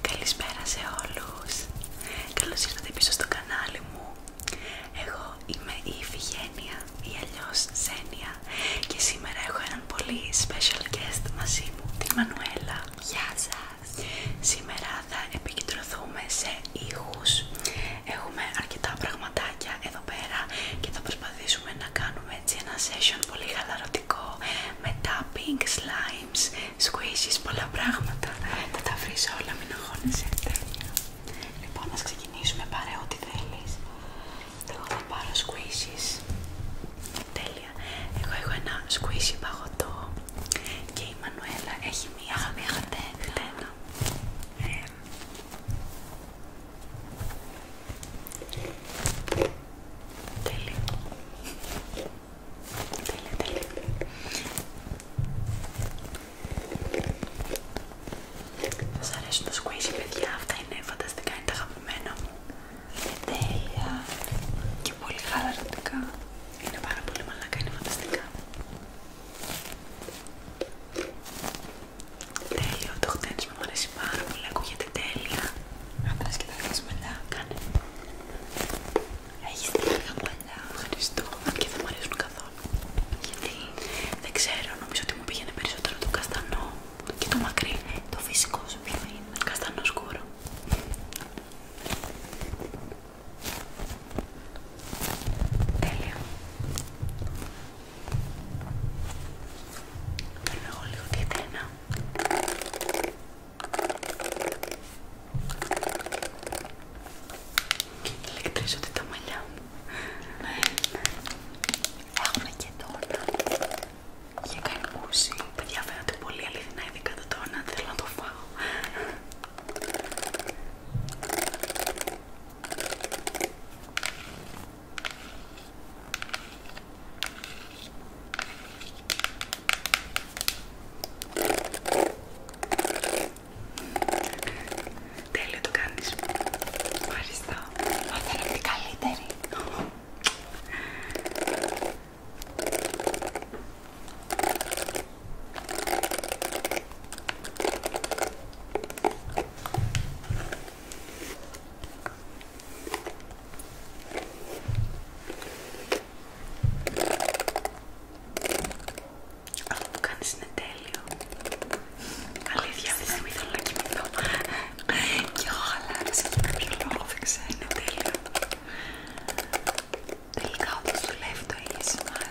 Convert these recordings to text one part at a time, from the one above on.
Καλησπέρα σε όλους! Καλώς ήρθατε πίσω στο κανάλι μου. Εγώ είμαι η Ιφηγένεια ή αλλιώς Σένια και σήμερα έχω έναν πολύ special guest μαζί μου, τη Μανουέλα. Γεια σας! Σήμερα θα επικεντρωθούμε σε ήχους. Έχουμε αρκετά πραγματάκια εδώ πέρα και θα προσπαθήσουμε να κάνουμε κάνουμε έτσι ένα session πολύ χαλαρωτικό με tapping, slimes, squishes, πολλά πράγματα. Θα τα βρεις όλα, μην αγχώνεσαι. Λοιπόν, ας ξεκινήσουμε, πάρε ό,τι θέλεις. Εγώ θα πάρω squishes. Τέλεια. Εγώ έχω ένα squishy παγωτό και η Μανουέλα έχει μία χαμηλή Τέλει. Τέλει, τέλει. Σας αρέσουν τα squishy παιδιά, αυτά είναι φανταστικά, είναι τα αγαπημένα μου. Είναι τέλεια και πολύ χαλαρωτικά. Είναι πάρα πολύ μαλακά, είναι φανταστικά. Τέλειο, το χτένισμα μου αρέσει πάρα πολύ, ακούγεται τέλεια. Αν θες και τα μετά, κάνε. Έχεις την αργά ευχαριστώ. Αν και δεν μου αρέσουν καθόλου. Γιατί δεν ξέρω, νομίζω ότι μου πήγαινε περισσότερο το καστανό και το μακρύ. Το φυσικό σου ποιο είναι. Καστανό σκούρο. Τέλεια. Περνάω λίγο τη τένα. Ηλεκτρίζονται τα μαλλιά μου. Ναι. Έχουμε και τόνα. Για καρπούση. Παιδιά φαίνονται πολύ αληθινά ειδικά το τόνα. Θέλω να το φάω. Τέλειο το κάνεις. Ευχαριστώ. Μα θα είναι καλύτερη. Αυτό που κάνεις είναι τέλειο. Αλήθεια, δεν ήθελα να κοιμηθώ. και Κι εγώ χαλάρωσα για κάποιο λόγο, δεν ξέρω, είναι τέλειο. Τελικά όπως δουλεύει το ASMR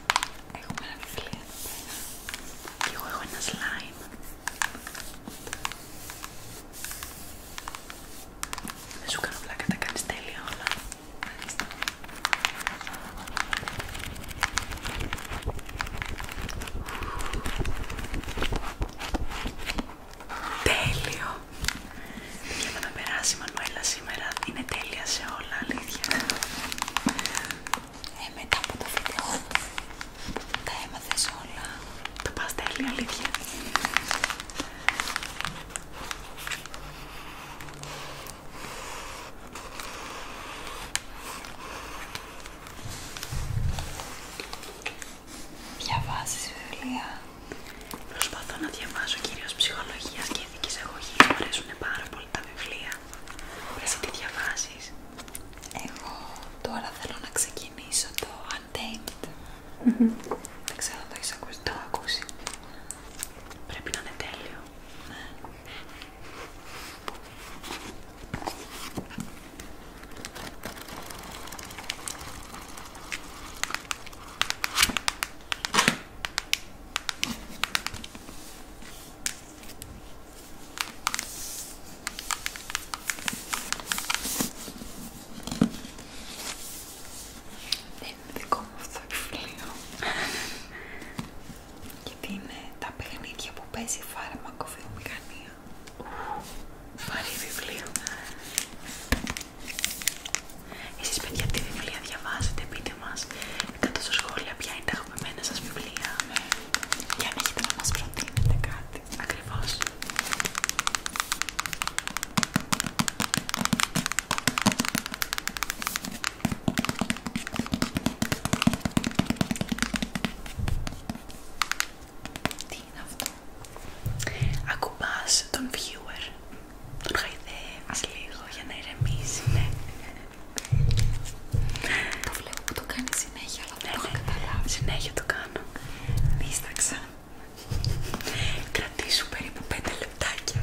Έχουμε ένα βιβλίο εδώ πέρα εγώ έχω ένα slime. Δεν σου κάνω πλάκα, τα κάνεις τέλεια όλα. Μάλιστα. Τέλειο! Και να με περάσει η Μανουέλα σήμερα, είναι τέλεια σε όλα, αλήθεια. Ε, μετά από το βίντεο τα έμαθες όλα. Τα πας τέλεια, αλήθεια. Διαβάζεις βιβλία. Προσπαθώ να διαβάζω κυρίως ψυχολογία και ηθικής αγωγής. Μου αρέσουν πάρα πολύ τα βιβλία. Εσύ τι διαβάζεις? Εγώ τώρα θέλω να ξεκινήσω το Untamed. Δεν ξέρω αν το έχεις ακούσει. Το ακούσει. Πρέπει να είναι τέλειο. Ναι. Δεν είναι δικό μου αυτό το βιβλίο. Γιατί είναι τα παιχνίδια που παίζει φάρμακοβιομηχανία. Βαρύ βιβλίο. Εσείς παιδιά τι βιβλία διαβάζετε, πείτε μας κάτω στα σχόλια ποια είναι τα αγαπημένα σας βιβλία με... για να έχετε να μας προτείνετε κάτι ακριβώς. Τι είναι αυτό ακουμπάς τον viewer, τον χαϊδεύεις λίγο για να ηρεμήσει, ναι. Το βλέπω που το κάνει συνέχεια, αλλά δεν το ναι, έχω ναι. καταλάβει. Συνέχεια το κάνω. Δίσταξα. Κρατήσου περίπου 5 λεπτάκια.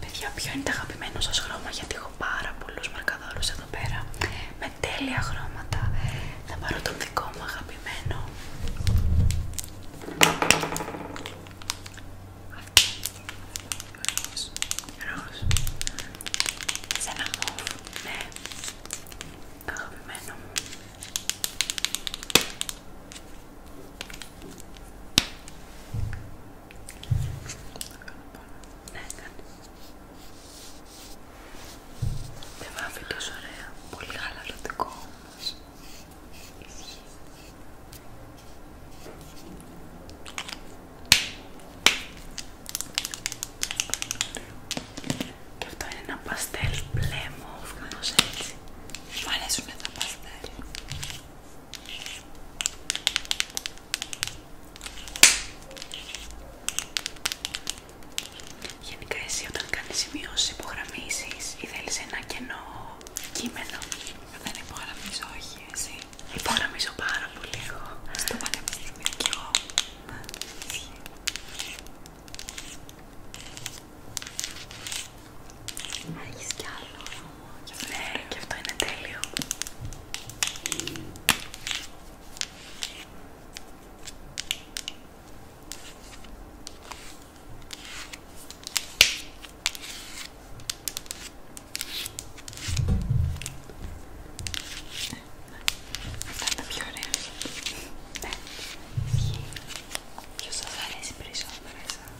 Παιδιά, ποιο είναι το αγαπημένο χρώμα, γιατί έχω πάρα πολλούς μαρκαδόρους εδώ πέρα με τέλεια χρώματα. Θα πάρω τον δικό μου αγαπημένο. Ροζ, ροζ. Σε ένα ναι. Αγαπημένο μου. Ναι, έκανε. Ναι, Δεν βάφει τόσο ωραία. Πολύ χαλαρωτικό όμως. Ισχύει. Και αυτό είναι ένα παστέλ μπλε μόφ, κάπως έτσι. Μου αρέσουνε τα παστέλ. Γενικά εσύ όταν κάνεις σημείωση, υπογραμμίσεις ή θέλεις ένα κενό κείμενο Δεν υπογραμμίζω όχι εσύ Υπογραμμίζω πάρα πολύ εγώ Στο πανεπιστήμιο και εγώ Έχεις κι άλλο Ναι, και αυτό είναι τέλειο Αυτά είναι τα πιο ωραία Ναι, ποιος σας αρέσει περισσότερο εσάς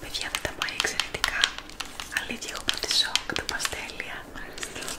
Παιδιά δεν τα πάει εξαιρετικά. Αλήθεια, έχω τη σοκ, τα παστέλια.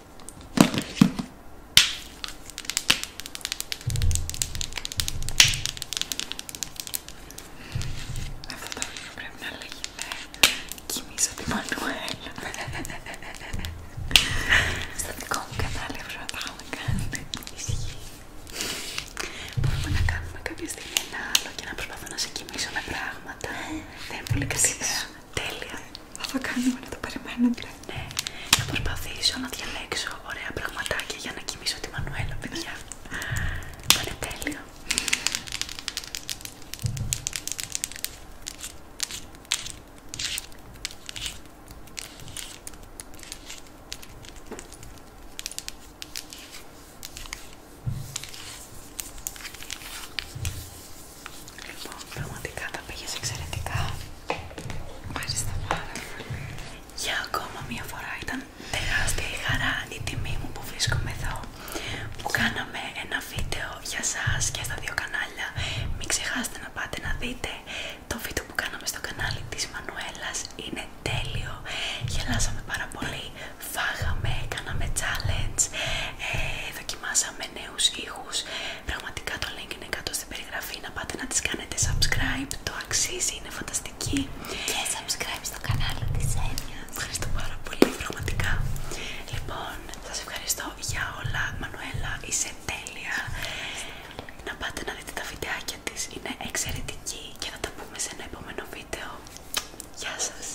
Αυτό το βίντεο πρέπει να λέγεται «Κοιμήσω τη Μανουέλα». Στο δικό μου κανάλι έπρεπε να τα έχουμε κάνει. Ισχύει. Μπορούμε να κάνουμε κάποια στιγμή ένα άλλο και να προσπαθούμε να σε κοιμήσω με πράγματα. Ε, Δεν είναι πολύ καλή ιδέα. Τέλεια. Θα το κάνουμε να το Ναι, θα προσπαθήσω να διαλέξω ωραία πραγματάκια για να κοιμήσω τη Μανουέλα, παιδιά. Θα είναι τέλειο. Λοιπόν, πραγματικά τα πήγες εξαιρετικά. Ευχαριστώ πάρα πολύ. Για ακόμα μία φορά ήταν τεράστια η χαρά, η τιμή μου που βρίσκομαι εδώ. Που κάναμε ένα βίντεο για σας και στα δύο κανάλια. Μην ξεχάσετε να πάτε να δείτε το βίντεο που κάναμε στο κανάλι της Μανουέλας. Είναι τέλειο. Γελάσαμε πάρα πολύ. Φάγαμε, κάναμε challenge, ε, δοκιμάσαμε νέους ήχους. Πραγματικά το link είναι κάτω στην περιγραφή να πάτε να τις κάνετε subscribe. Το αξίζει, είναι φανταστική. Και subscribe στο κανάλι της Ένιας. Ευχαριστώ πάρα πολύ, πραγματικά. Λοιπόν, σας ευχαριστώ για όλα. Μανουέλα, είσαι τέλεια. Να πάτε να δείτε τα βιντεάκια της, είναι εξαιρετική και να τα πούμε σε ένα επόμενο βίντεο. Γεια σας!